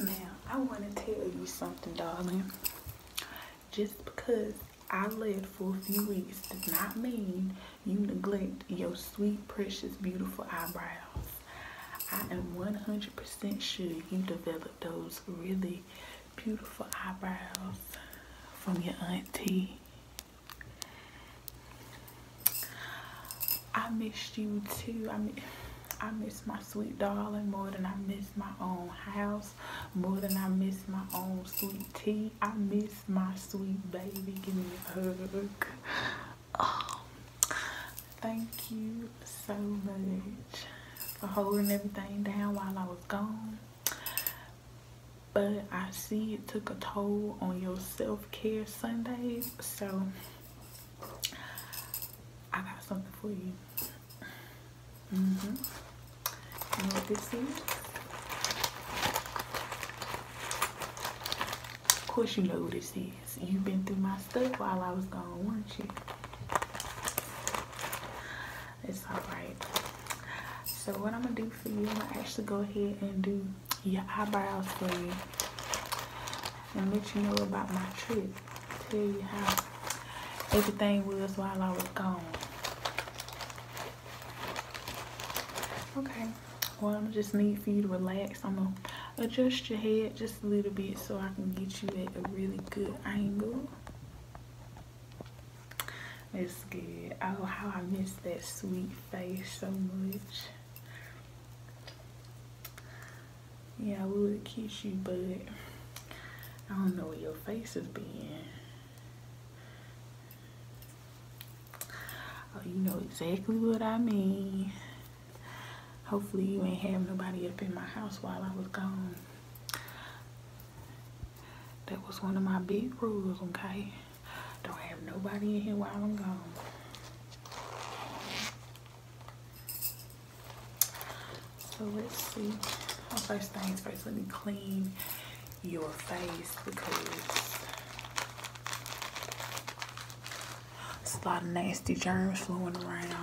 Now, I want to tell you something, darling. Just because I led for a few weeks does not mean you neglect your sweet, precious, beautiful eyebrows. I am 100% sure you developed those really beautiful eyebrows from your auntie. I missed you too. I mean, I miss my sweet darling more than I miss my own house, more than I miss my own sweet tea. I miss my sweet baby. Give me a hug. Oh, thank you so much for holding everything down while I was gone. But I see it took a toll on your self-care Sundays, so I got something for you. hmm You know what this is? Of course you know what this is. You've been through my stuff while I was gone, weren't you? It's alright. So what I'm gonna do for you, I'm gonna actually go ahead and do your eyebrows for you and let you know about my trip. Tell you how everything was while I was gone. Okay, well, I am just need for you to relax. I'm going to adjust your head just a little bit so I can get you at a really good angle. That's good. Oh, how I miss that sweet face so much. Yeah, I would kiss you, but I don't know where your face is being. Oh, you know exactly what I mean. Hopefully you ain't have nobody up in my house while I was gone. That was one of my big rules, okay? Don't have nobody in here while I'm gone. So let's see. Well, first things first, let me clean your face because it's a lot of nasty germs floating around.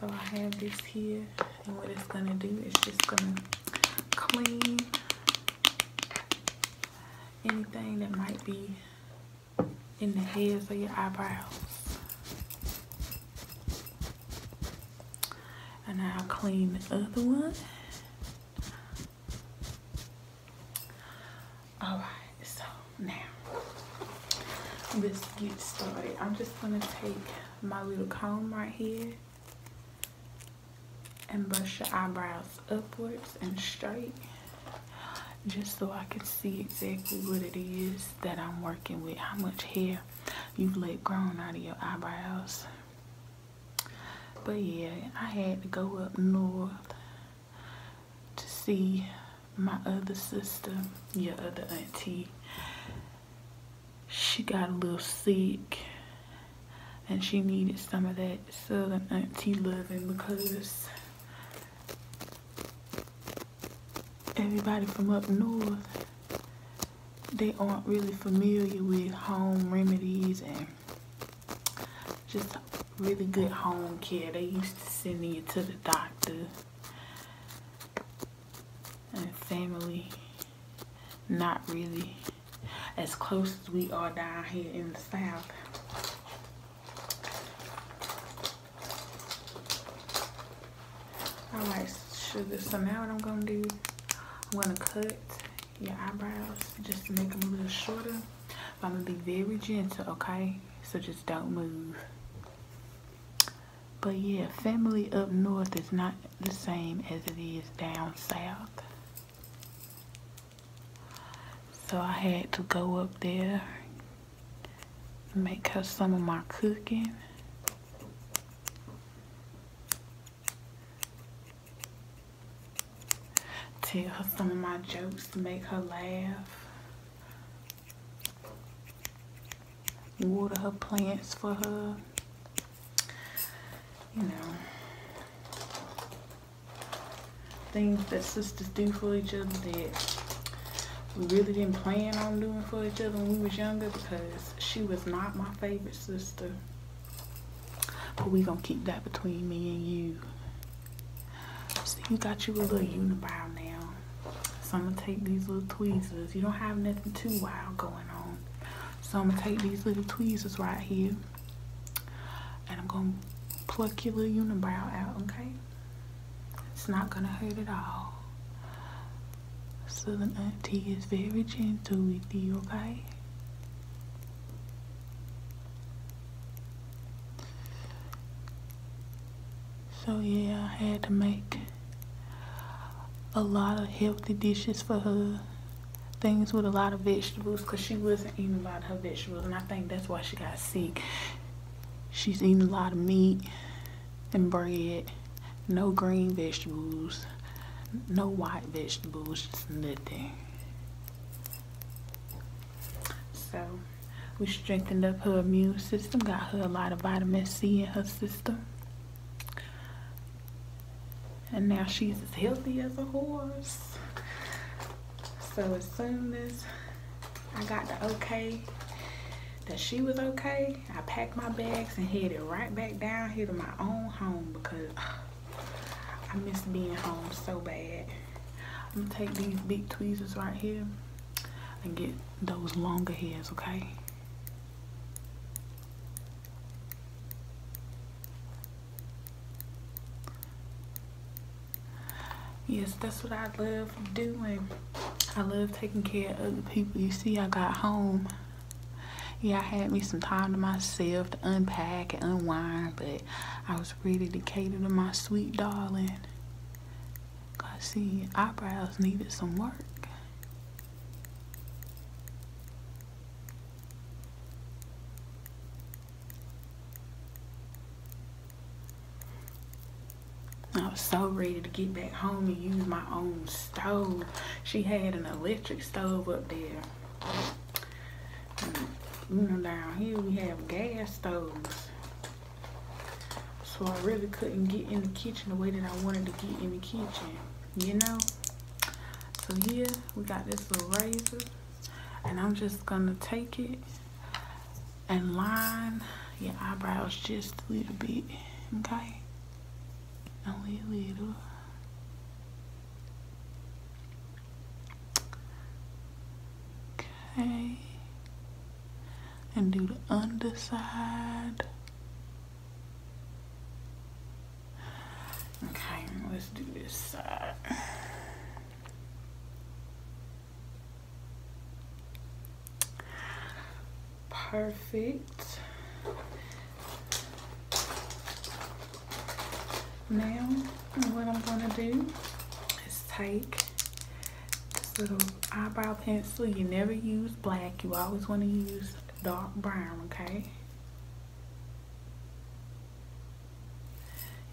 So I have this here and what it's gonna do is just gonna clean anything that might be in the hairs of your eyebrows. And I'll clean the other one. Alright, so now let's get started. I'm just gonna take my little comb right here and brush your eyebrows upwards and straight just so I can see exactly what it is that I'm working with, how much hair you've let grow out of your eyebrows. But yeah, I had to go up north to see my other sister, your other auntie. She got a little sick and she needed some of that southern auntie loving because everybody from up north they aren't really familiar with home remedies and just really good home care they used to send you to the doctor and family not really as close as we are down here in the south I might this. So now what I'm gonna do, I'm gonna cut your eyebrows just to make them a little shorter. I'm gonna be very gentle, okay? So just don't move. But yeah, family up north is not the same as it is down south. So I had to go up there make her some of my cooking. Tell her some of my jokes to make her laugh. Water her plants for her. You know things that sisters do for each other that we really didn't plan on doing for each other when we was younger because she was not my favorite sister. But we gonna keep that between me and you. So you got you a little unibrow now. So I'm gonna take these little tweezers. You don't have nothing too wild going on. So I'm gonna take these little tweezers right here and I'm gonna pluck your little unibrow out, okay? It's not gonna hurt at all. So the Auntie is very gentle with you, okay? So yeah, I had to make a lot of healthy dishes for her. Things with a lot of vegetables because she wasn't eating a lot of her vegetables and I think that's why she got sick. She's eating a lot of meat and bread. No green vegetables. No white vegetables. nothing. So we strengthened up her immune system. Got her a lot of vitamin C in her system. And now she's as healthy as a horse. So as soon as I got the okay that she was okay, I packed my bags and headed right back down here to my own home because I miss being home so bad. I'm gonna take these big tweezers right here and get those longer hairs, okay? yes that's what i love doing i love taking care of other people you see i got home yeah i had me some time to myself to unpack and unwind but i was ready to cater to my sweet darling cause see eyebrows needed some work I was so ready to get back home and use my own stove. She had an electric stove up there. And, down here we have gas stoves. So I really couldn't get in the kitchen the way that I wanted to get in the kitchen, you know? So here we got this little razor and I'm just gonna take it and line your eyebrows just a little bit, okay? a little. Okay. And do the underside. Okay, let's do this side. Perfect. Now, what I'm gonna do is take this little eyebrow pencil. You never use black. You always wanna use dark brown, okay?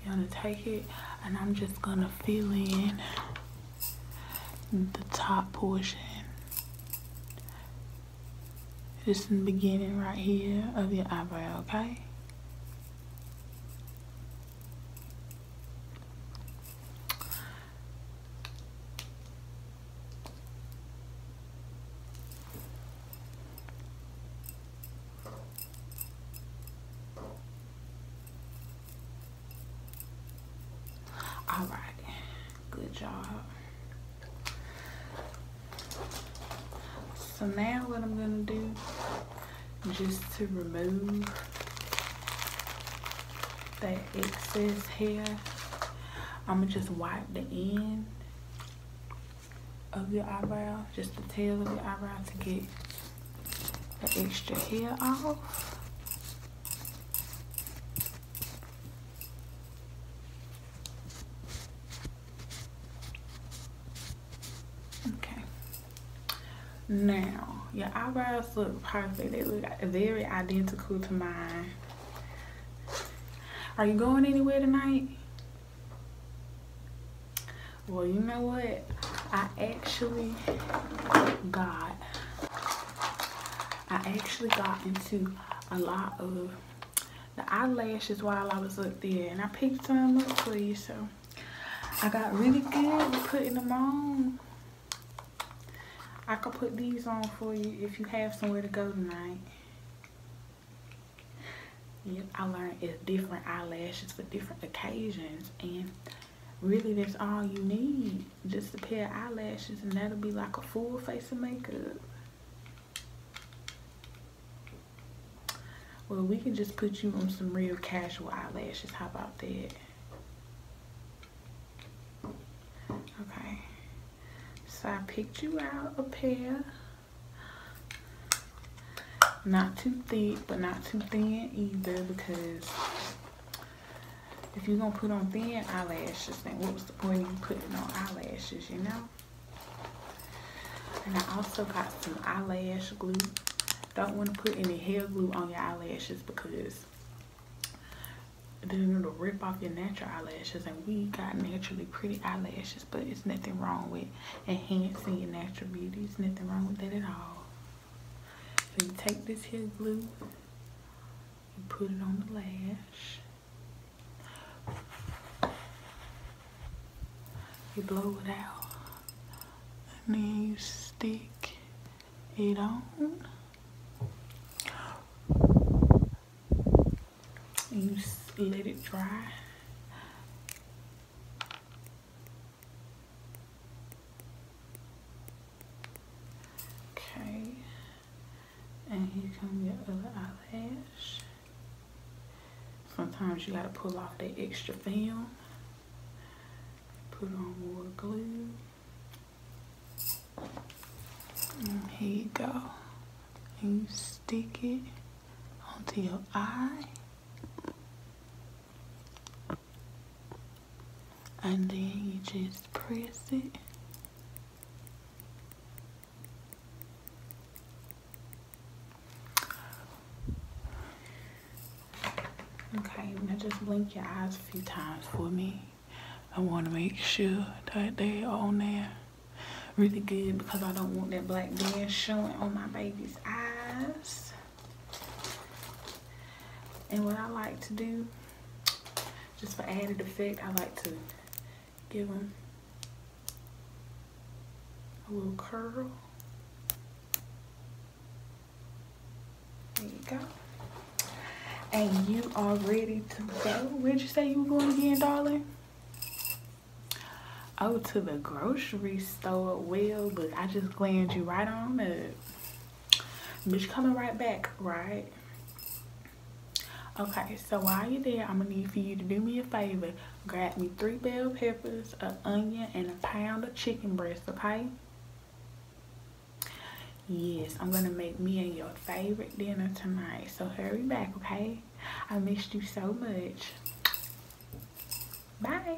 You're gonna take it and I'm just gonna fill in the top portion. Just in the beginning right here of your eyebrow, okay? All right, good job. So now what I'm gonna do, just to remove that excess hair, I'm gonna just wipe the end of your eyebrow, just the tail of your eyebrow to get the extra hair off. Okay. Now, your eyebrows look perfect. They look very identical to mine. Are you going anywhere tonight? Well, you know what? I actually got I actually got into a lot of the eyelashes while I was up there and I picked some up for you so I got really good with putting them on. I could put these on for you if you have somewhere to go tonight. I learned it's different eyelashes for different occasions and really that's all you need just a pair of eyelashes and that'll be like a full face of makeup well we can just put you on some real casual eyelashes how about that okay so I picked you out a pair not too thick, but not too thin either because if you're going to put on thin eyelashes, then what was the point of you putting on eyelashes, you know? And I also got some eyelash glue. Don't want to put any hair glue on your eyelashes because then it'll rip off your natural eyelashes. And we got naturally pretty eyelashes, but it's nothing wrong with enhancing your natural beauty. It's nothing wrong with that at all. So you take this here glue, you put it on the lash, you blow it out, and then you stick it on. you let it dry Okay, and here come your other eyelash. Sometimes you gotta pull off that extra film, put on more glue. here you go. And you stick it onto your eye and then you just press it okay just blink your eyes a few times for me I want to make sure that they are on there really good because I don't want that black band showing on my baby's eyes and what I like to do, just for added effect, I like to give them a little curl. There you go. And you are ready to go. Where'd you say you were going again, darling? Oh, to the grocery store. Well, but I just glanced you right on it it bitch coming right back right okay so while you're there i'm gonna need for you to do me a favor grab me three bell peppers an onion and a pound of chicken breast okay yes i'm gonna make me and your favorite dinner tonight so hurry back okay i missed you so much bye